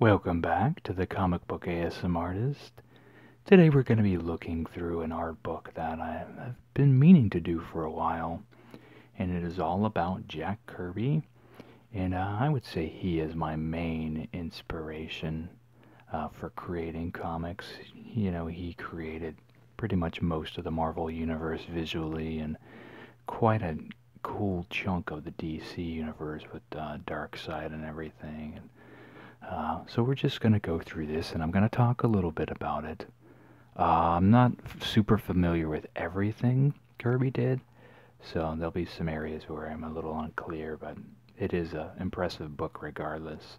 Welcome back to the Comic Book ASM Artist. Today we're going to be looking through an art book that I've been meaning to do for a while, and it is all about Jack Kirby, and uh, I would say he is my main inspiration uh, for creating comics. You know, he created pretty much most of the Marvel Universe visually, and quite a cool chunk of the DC universe with uh, Dark Side and everything. Uh, so we're just going to go through this, and I'm going to talk a little bit about it. Uh, I'm not super familiar with everything Kirby did, so there'll be some areas where I'm a little unclear, but it is an impressive book regardless.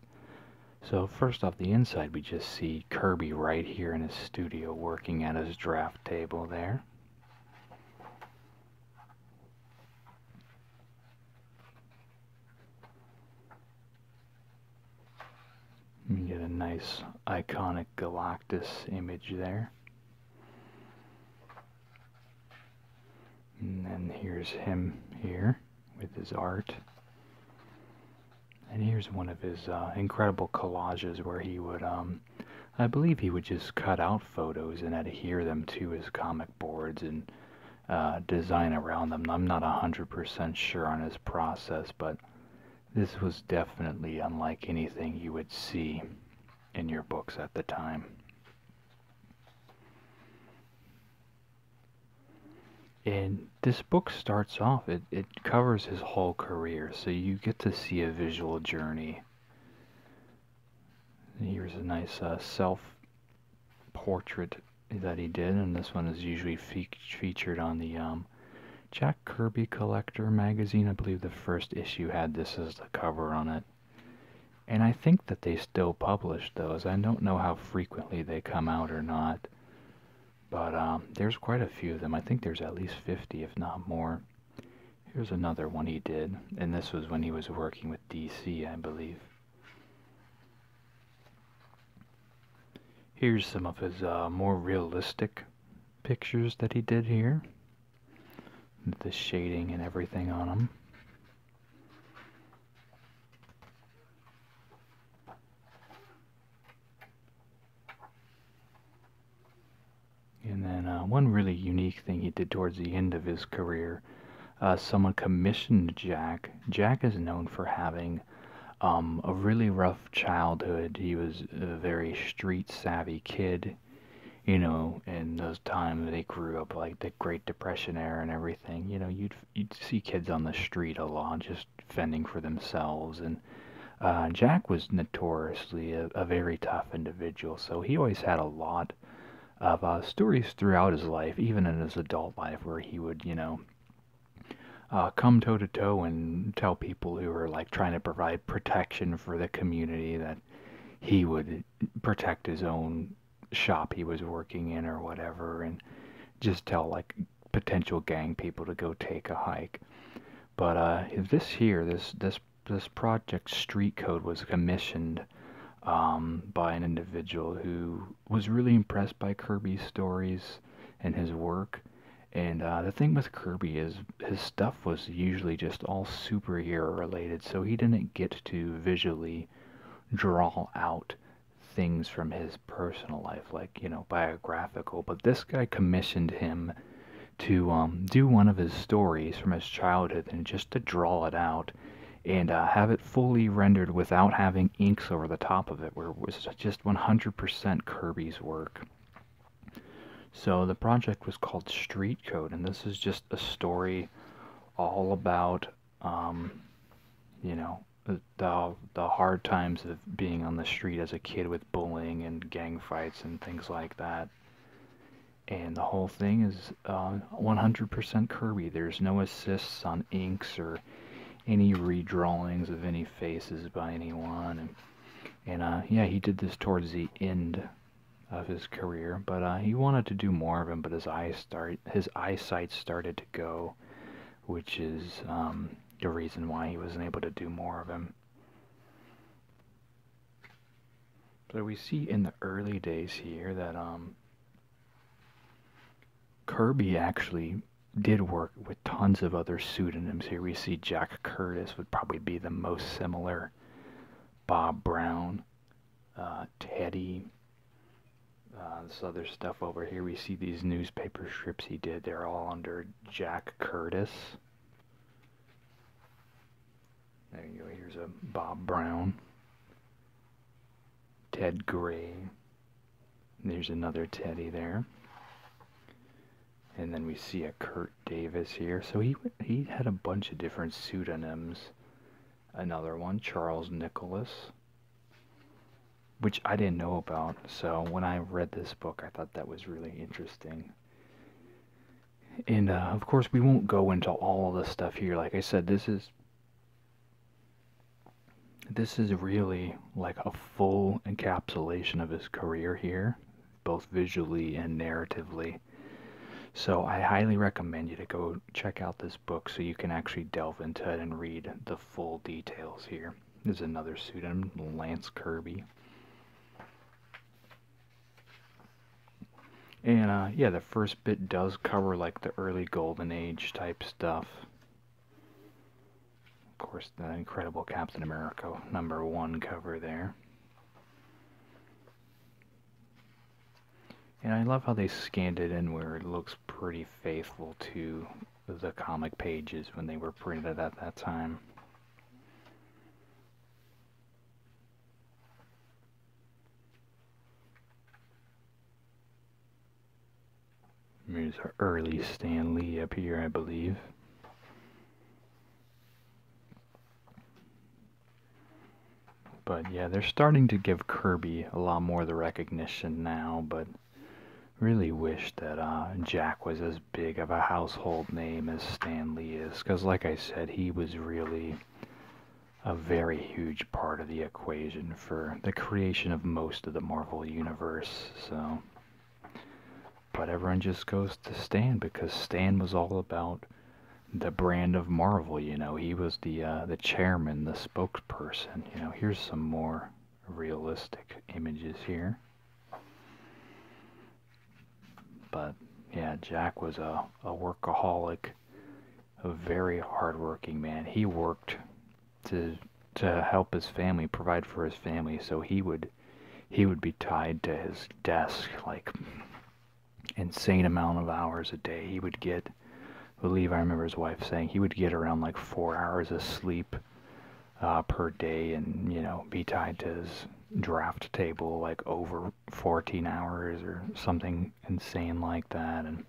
So first off the inside, we just see Kirby right here in his studio working at his draft table there. You get a nice iconic Galactus image there. And then here's him here with his art. And here's one of his uh, incredible collages where he would um, I believe he would just cut out photos and adhere them to his comic boards and uh, design around them. I'm not 100% sure on his process, but this was definitely unlike anything you would see in your books at the time. And this book starts off, it, covers his whole career, so you get to see a visual journey. Here's a nice uh, self portrait that he did, and this one is usually featured on the um, Jack Kirby Collector magazine. I believe the first issue had this as the cover on it. And I think that they still publish those. I don't know how frequently they come out or not. But um, there's quite a few of them. I think there's at least 50, if not more. Here's another one he did, and this was when he was working with DC, I believe. Here's some of his uh, more realistic pictures that he did here. The shading and everything on them. And then uh, one really unique thing he did towards the end of his career, uh, someone commissioned Jack. Jack is known for having um, a really rough childhood. He was a very street savvy kid, you know, in those times they grew up like the Great Depression era and everything. You know, you'd you'd see kids on the street a lot, just fending for themselves and uh, Jack was notoriously a, very tough individual, so he always had a lot of uh, stories throughout his life, even in his adult life, where he would, you know, uh, come toe to toe and tell people who were like trying to provide protection for the community that he would protect his own shop he was working in or whatever, and just tell like potential gang people to go take a hike. But uh, this here, this this this project Street Code was commissioned um, by an individual who was really impressed by Kirby's stories and his work. And uh, the thing with Kirby is his stuff was usually just all superhero related, so he didn't get to visually draw out things from his personal life, like, you know, biographical. But this guy commissioned him to um, do one of his stories from his childhood and just to draw it out and uh, have it fully rendered without having inks over the top of it, where it was just 100% Kirby's work. So the project was called Street Code, and this is just a story all about, um, you know, the the hard times of being on the street as a kid with bullying and gang fights and things like that. And the whole thing is 100% uh, Kirby. There's no assists on inks or any redrawings of any faces by anyone. And, uh, yeah, he did this towards the end of his career, but uh, he wanted to do more of him. But his eyes start, his eyesight started to go, which is um, the reason why he wasn't able to do more of him. So we see in the early days here that um, Kirby actually did work with tons of other pseudonyms here. We see Jack Curtis would probably be the most similar. Bob Brown, uh, Teddy, uh, this other stuff over here. We see these newspaper strips he did. They're all under Jack Curtis. There you go. Here's a Bob Brown, Ted Gray. There's another Teddy there. And then we see a Kurt Davis here. So he he had a bunch of different pseudonyms. Another one, Charles Nicholas, which I didn't know about. So when I read this book, I thought that was really interesting. And uh, of course, we won't go into all the stuff here. Like I said, this is this is really like a full encapsulation of his career here, both visually and narratively. So I highly recommend you to go check out this book so you can actually delve into it and read the full details Here is There's another pseudonym, Lance Kirby. And uh, yeah, the first bit does cover like the early Golden Age type stuff. Of course, the incredible Captain America number one cover there. And I love how they scanned it in where it looks pretty faithful to the comic pages when they were printed at that time. Here's our early Stan Lee up here, I believe. But yeah, they're starting to give Kirby a lot more the recognition now, but really wish that uh, Jack was as big of a household name as Stan Lee is, because, like I said, he was really a very huge part of the equation for the creation of most of the Marvel Universe. So, but everyone just goes to Stan because Stan was all about the brand of Marvel. You know, he was the uh, the chairman, the spokesperson. You know, here's some more realistic images here. But yeah, Jack was a, a workaholic, a very hardworking man. He worked to to help his family, provide for his family, so he would he would be tied to his desk like insane amount of hours a day. He would get believe I remember his wife saying he would get around like four hours of sleep uh, per day and, you know, be tied to his draft table like over 14 hours or something insane like that. And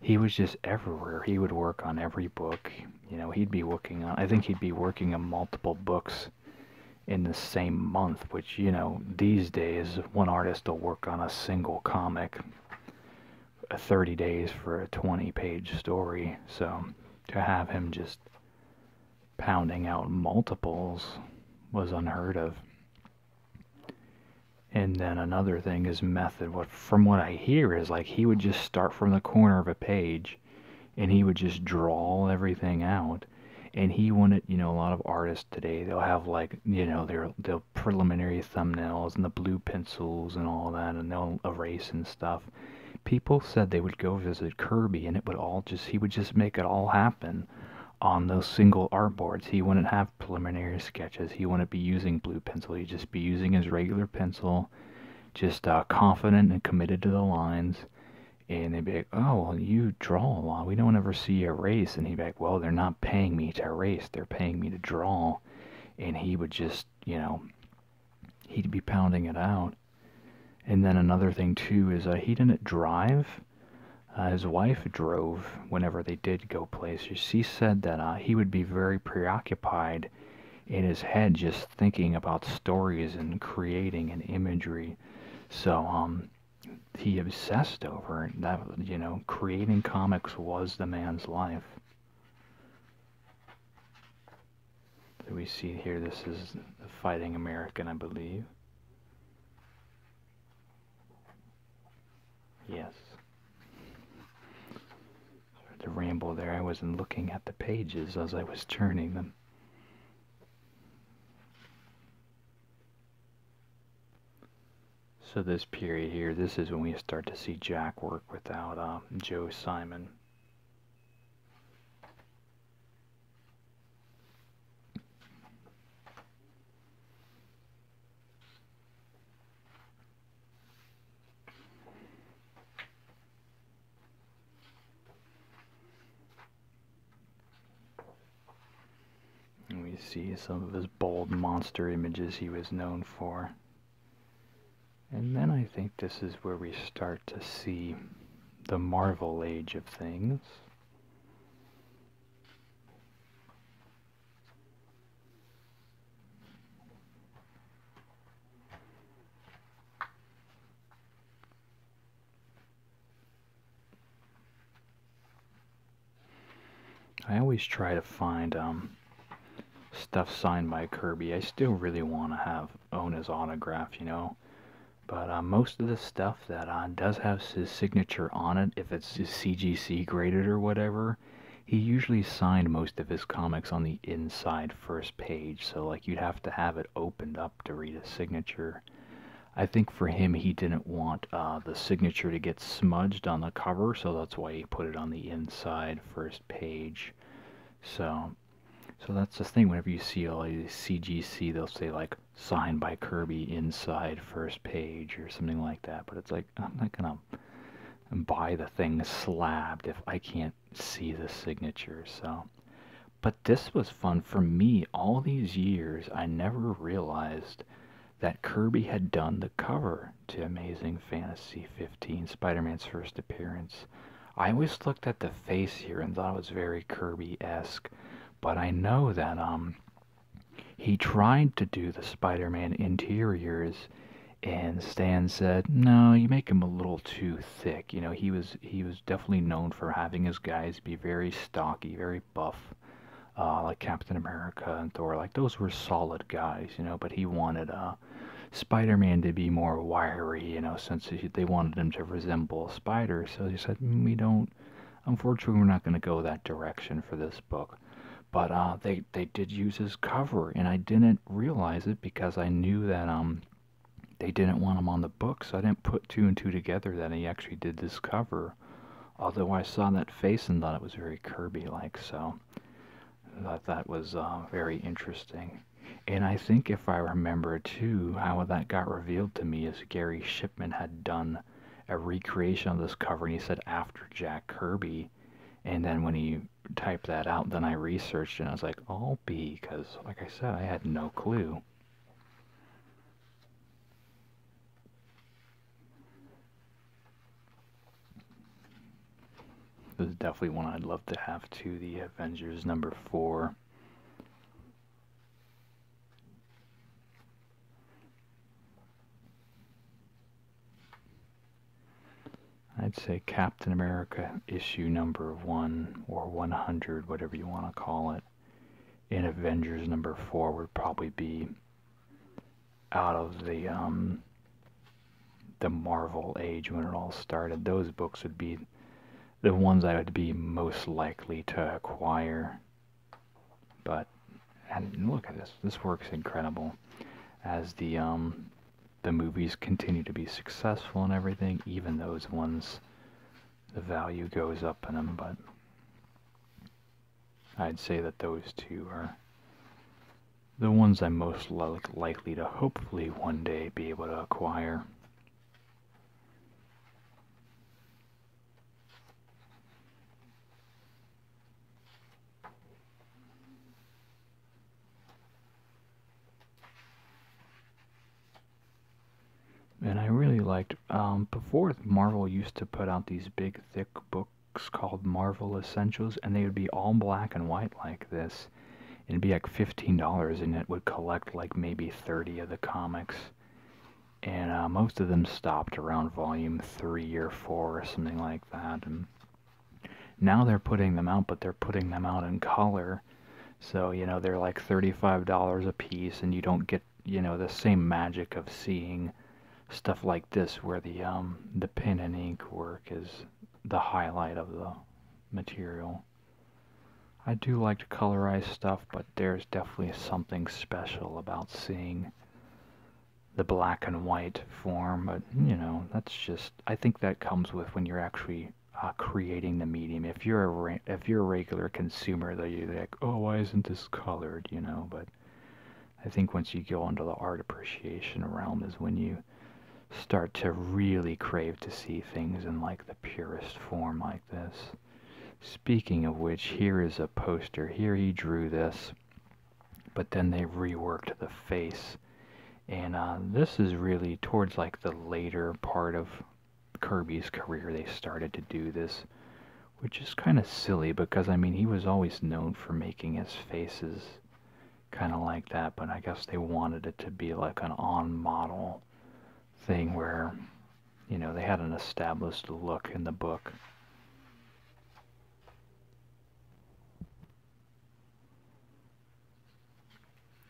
he was just everywhere. He would work on every book. You know, he'd be working on, I think he'd be working on multiple books in the same month, which, you know, these days, one artist will work on a single comic uh, 30 days for a 20 page story. So to have him just pounding out multiples was unheard of. And then another thing, is method, what from what I hear is like he would just start from the corner of a page and he would just draw everything out. And he wanted, you know, a lot of artists today, they'll have like, you know, their, their preliminary thumbnails and the blue pencils and all that, and they'll erase and stuff people said they would go visit Kirby and it would all just, he would just make it all happen on those single art boards. He wouldn't have preliminary sketches. He wouldn't be using blue pencil. He'd just be using his regular pencil, just uh, confident and committed to the lines. And they'd be like, oh, well, you draw a lot. We don't ever see you erase. And he'd be like, well, they're not paying me to erase. They're paying me to draw. And he would just, you know, he'd be pounding it out and then another thing too is uh, he didn't drive. Uh, his wife drove whenever they did go places. She said that uh, he would be very preoccupied in his head just thinking about stories and creating and imagery. So um, he obsessed over That you know, creating comics was the man's life that we see here. This is the Fighting American, I believe. Yes. Sorry to ramble there. I wasn't looking at the pages as I was turning them. So this period here, this is when we start to see Jack work without um, Joe Simon we see some of his bold monster images he was known for. And then I think this is where we start to see the Marvel age of things. I always try to find um, stuff signed by Kirby. I still really want to have own his autograph, you know. But uh, most of the stuff that uh, does have his signature on it, if it's CGC graded or whatever, he usually signed most of his comics on the inside first page. So, like, you'd have to have it opened up to read his signature. I think for him, he didn't want uh, the signature to get smudged on the cover, so that's why he put it on the inside first page. So so that's the thing. Whenever you see a CGC, they'll say like signed by Kirby inside first page or something like that. But it's like I'm not gonna buy the thing slabbed if I can't see the signature. So, but this was fun for me. All these years, I never realized that Kirby had done the cover to Amazing Fantasy 15, Spider-Man's first appearance. I always looked at the face here and thought it was very Kirby-esque, but I know that um he tried to do the Spider-Man interiors and Stan said, "No, you make him a little too thick." You know, he was he was definitely known for having his guys be very stocky, very buff. Uh, like Captain America and Thor, like those were solid guys, you know, but he wanted uh Spider Man to be more wiry, you know, since they wanted him to resemble a spider. So he said, mm, we don't, unfortunately, we're not going to go that direction for this book. But uh, they, they did use his cover, and I didn't realize it because I knew that um, they didn't want him on the book, so I didn't put two and two together that he actually did this cover. Although I saw that face and thought it was very Kirby like, so I thought that was uh, very interesting. And I think if I remember too, how that got revealed to me is Gary Shipman had done a recreation of this cover and he said after Jack Kirby. And then when he typed that out, then I researched and I was like, all oh, B, because like I said, I had no clue. This is definitely one I'd love to have to the Avengers number four. I'd say Captain America issue number one or 100, whatever you want to call it, in Avengers number four would probably be out of the um, the Marvel age when it all started, those books would be the ones I would be most likely to acquire. But and look at this. This works incredible. As the um the movies continue to be successful and everything, even those ones the value goes up in them, but I'd say that those two are the ones I'm most likely to hopefully one day be able to acquire. And I really liked, um, before Marvel used to put out these big thick books called Marvel Essentials, and they would be all black and white like this it'd be like $15 and it would collect like maybe 30 of the comics. And uh, most of them stopped around volume 3 or 4 or something like that. And now they're putting them out, but they're putting them out in color. So, you know, they're like $35 a piece and you don't get, you know, the same magic of seeing stuff like this where the um the pen and ink work is the highlight of the material. I do like to colorize stuff, but there's definitely something special about seeing the black and white form. But, you know, that's just, I think that comes with when you're actually uh, creating the medium. If you're a if you're a regular consumer, though, you're like, oh, why isn't this colored? You know, but I think once you go into the art appreciation realm is when you start to really crave to see things in like the purest form like this. Speaking of which, here is a poster. Here he drew this, but then they reworked the face. And uh, this is really towards like the later part of Kirby's career. They started to do this, which is kind of silly because I mean, he was always known for making his faces kind of like that, but I guess they wanted it to be like an on model thing where, you know, they had an established look in the book.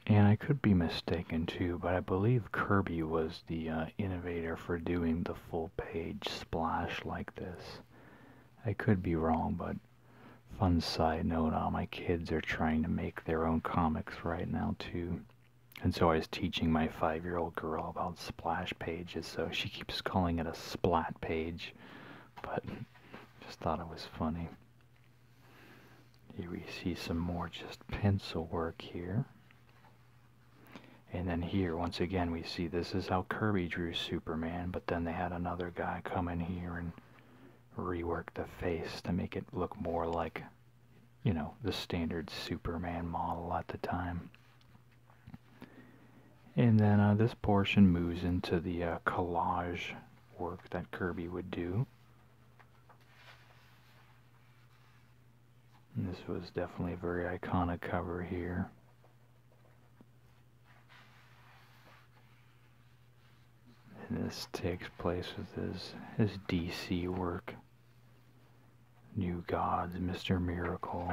And I could be mistaken too, but I believe Kirby was the uh, innovator for doing the full page splash like this. I could be wrong, but Fun side note, all my kids are trying to make their own comics right now too. And so I was teaching my five-year-old girl about splash pages, so she keeps calling it a splat page. But just thought it was funny. Here we see some more just pencil work here. And then here, once again, we see this is how Kirby drew Superman, but then they had another guy come in here and rework the face to make it look more like, you know, the standard Superman model at the time. And then uh, this portion moves into the uh, collage work that Kirby would do. this was definitely a very iconic cover here. And this takes place with his, his DC work. New Gods, Mr. Miracle.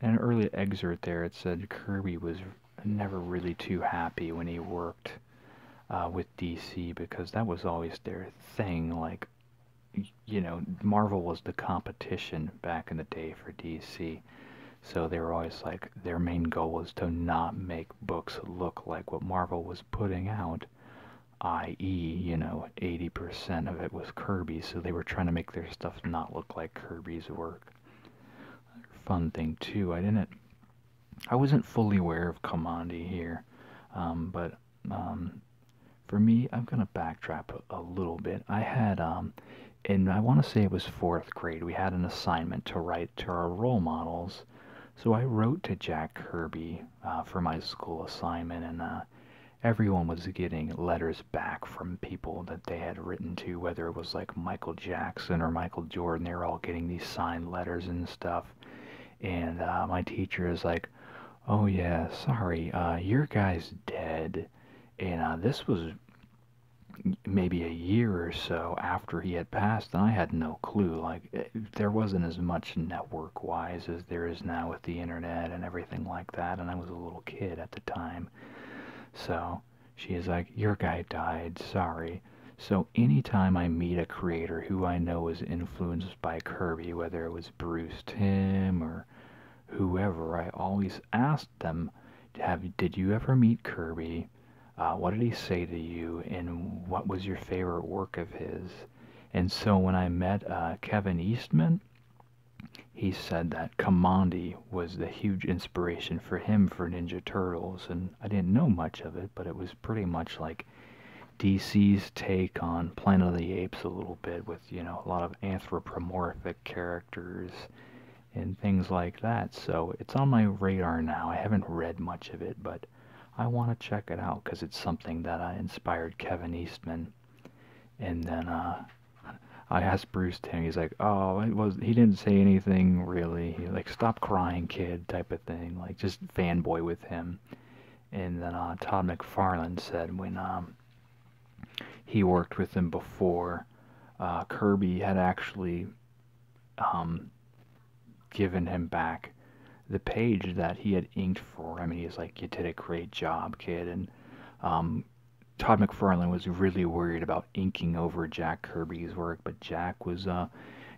An early excerpt there, it said Kirby was never really too happy when he worked uh, with DC because that was always their thing. Like, you know, Marvel was the competition back in the day for DC. So they were always like, their main goal was to not make books look like what Marvel was putting out, i.e., you know, 80% of it was Kirby, so they were trying to make their stuff not look like Kirby's work. Fun thing, too, I didn't, I wasn't fully aware of Commandi here, um, but um, for me, I'm going to backtrack a, little bit. I had, um, and I want to say it was fourth grade, we had an assignment to write to our role models. So I wrote to Jack Kirby uh, for my school assignment, and uh, everyone was getting letters back from people that they had written to, whether it was like Michael Jackson or Michael Jordan. They were all getting these signed letters and stuff. And uh, my teacher is like, Oh, yeah, sorry, your guy's dead. And this was maybe a year or so after he had passed and i had no clue like eh, there wasn't as much network wise as there is now with the internet and everything like that and i was a little kid at the time so she is like your guy died sorry so anytime i meet a creator who i know was influenced by kirby whether it was bruce tim or whoever i always ask them have did you ever meet Kirby? Uh, what did he say to you, and what was your favorite work of his? And so when I met uh, Kevin Eastman, he said that Kamandi was the huge inspiration for him for Ninja Turtles, and I didn't know much of it, but it was pretty much like DC's take on Planet of the Apes a little bit, with you know a lot of anthropomorphic characters and things like that. So it's on my radar now. I haven't read much of it, but I want to check it out because it's something that inspired Kevin Eastman. And then uh, I asked Bruce Timmy. He's like, "Oh, it was." He didn't say anything really. He like, "Stop crying, kid," type of thing. Like just fanboy with him. And then uh, Todd McFarlane said when um, he worked with him before, uh, Kirby had actually um, given him back the page that he had inked for him, and he's like, "You did a great job, kid." And um, Todd McFarlane was really worried about inking over Jack Kirby's work, but Jack was uh,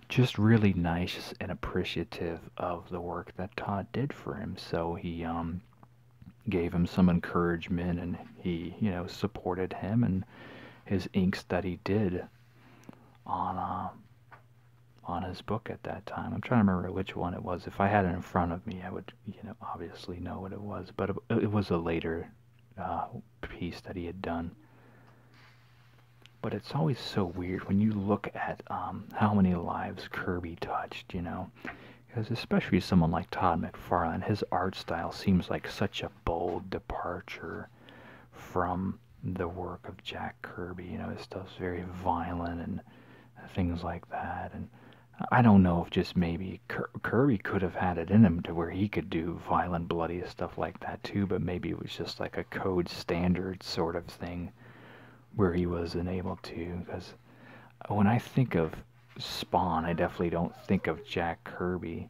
just really nice and appreciative of the work that Todd did for him. So he um, gave him some encouragement, and he, you know, supported him and his inks that he did on uh, on his book at that time. I'm trying to remember which one it was. If I had it in front of me, I would you know obviously know what it was. But it, was a later uh, piece that he had done. But it's always so weird when you look at um, how many lives Kirby touched, you know, because especially someone like Todd McFarlane, his art style seems like such a bold departure from the work of Jack Kirby. You know, his stuff's very violent and things like that. And I don't know if just maybe Kirby could have had it in him to where he could do violent, bloody stuff like that too, but maybe it was just like a code standard sort of thing where he wasn't to. Because when I think of Spawn, I definitely don't think of Jack Kirby.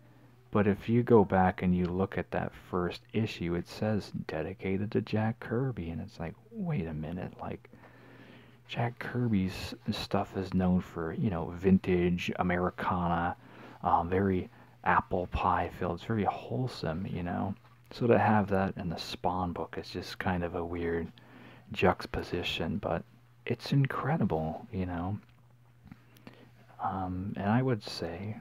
But if you go back and you look at that first issue, it says dedicated to Jack Kirby, and it's like, wait a minute, like Jack Kirby's stuff is known for you know vintage Americana, um, very apple pie filled. It's very wholesome, you know. So to have that in the Spawn book is just kind of a weird juxtaposition, but it's incredible, you know. Um, and I would say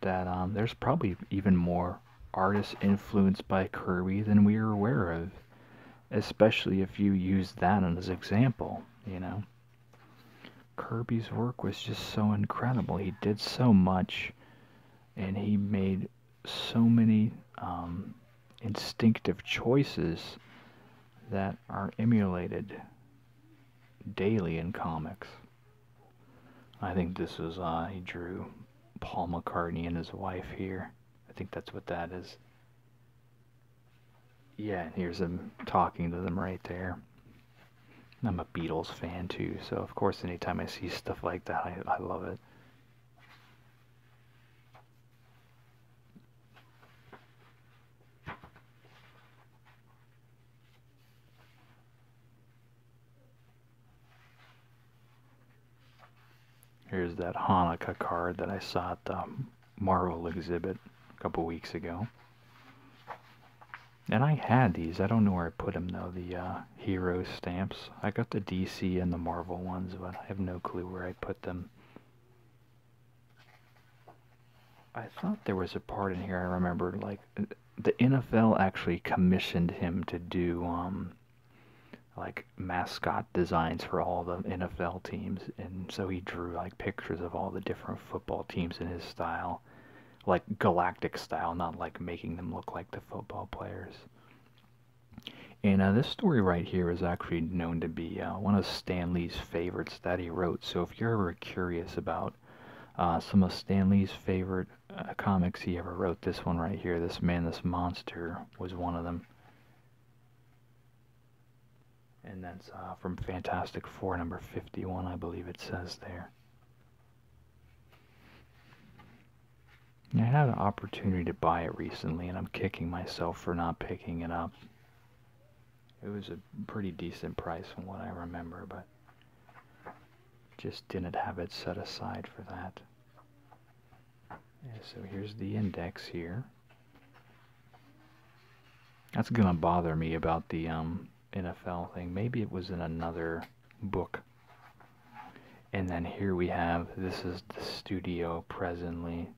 that um, there's probably even more artists influenced by Kirby than we are aware of, especially if you use that as an example, you know. Kirby's work was just so incredible. He did so much, and he made so many um, instinctive choices that are emulated daily in comics. I think this is, I uh, drew Paul McCartney and his wife here. I think that's what that is. Yeah, and here's him talking to them right there. I'm a Beatles fan too, so of course, anytime I see stuff like that, I, I love it. Here's that Hanukkah card that I saw at the Marvel exhibit a couple weeks ago. And I had these. I don't know where I put them though, the uh, hero stamps. I got the DC and the Marvel ones, but I have no clue where I put them. I thought there was a part in here I remember, like the NFL actually commissioned him to do um, like mascot designs for all the NFL teams, and so he drew like pictures of all the different football teams in his style, like galactic style, not like making them look like the football players. And uh, this story right here is actually known to be uh, one of Stanley's favorites that he wrote. So if you're ever curious about uh, some of Stanley's favorite uh, comics he ever wrote, this one right here, This Man, This Monster, was one of them. And that's uh, from Fantastic Four, number 51, I believe it says there. I had an opportunity to buy it recently, and I'm kicking myself for not picking it up it was a pretty decent price from what I remember, but just didn't have it set aside for that. so here's the index here. That's gonna bother me about the um, NFL thing. Maybe it was in another book. And then here we have this is the studio presently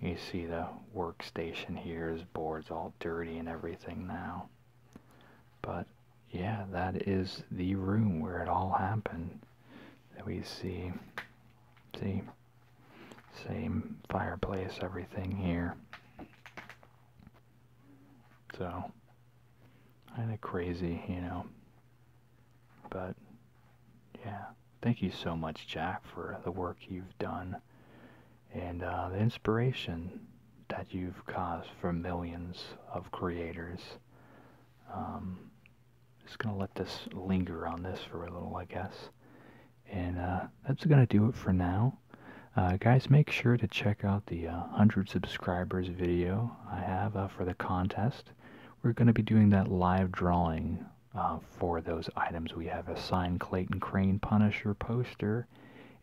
you see the workstation here is boards all dirty and everything now. But yeah, that is the room where it all happened. That we see, see, same fireplace, everything here. So, kind of crazy, you know. But yeah, thank you so much, Jack, for the work you've done and uh, the inspiration that you've caused for millions of creators. Um, just going to let this linger on this for a little, I guess. And uh, that's going to do it for now. Uh, guys, make sure to check out the 100 subscribers video I have for the contest. We're going to be doing that live drawing uh, for those items. We have a signed Clayton Crane Punisher poster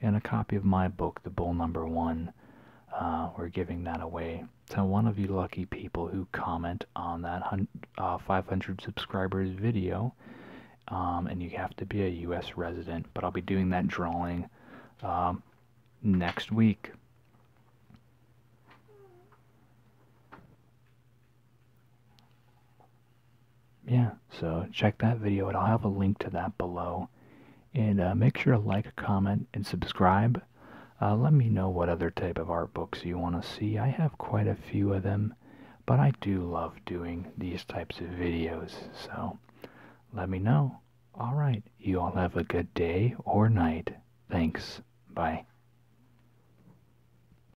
and a copy of my book, The Bull Number One. Uh, we're giving that away to one of you lucky people who comment on that uh, 500 subscribers video. Um, and you have to be a U.S. resident, but I'll be doing that drawing um, next week yeah, so check that video I'll have a link to that below. And uh, make sure to like, comment, and subscribe. Uh, let me know what other type of art books you want to see. I have quite a few of them, but I do love doing these types of videos. So let me know. All right, you all have a good day or night. Thanks. Bye.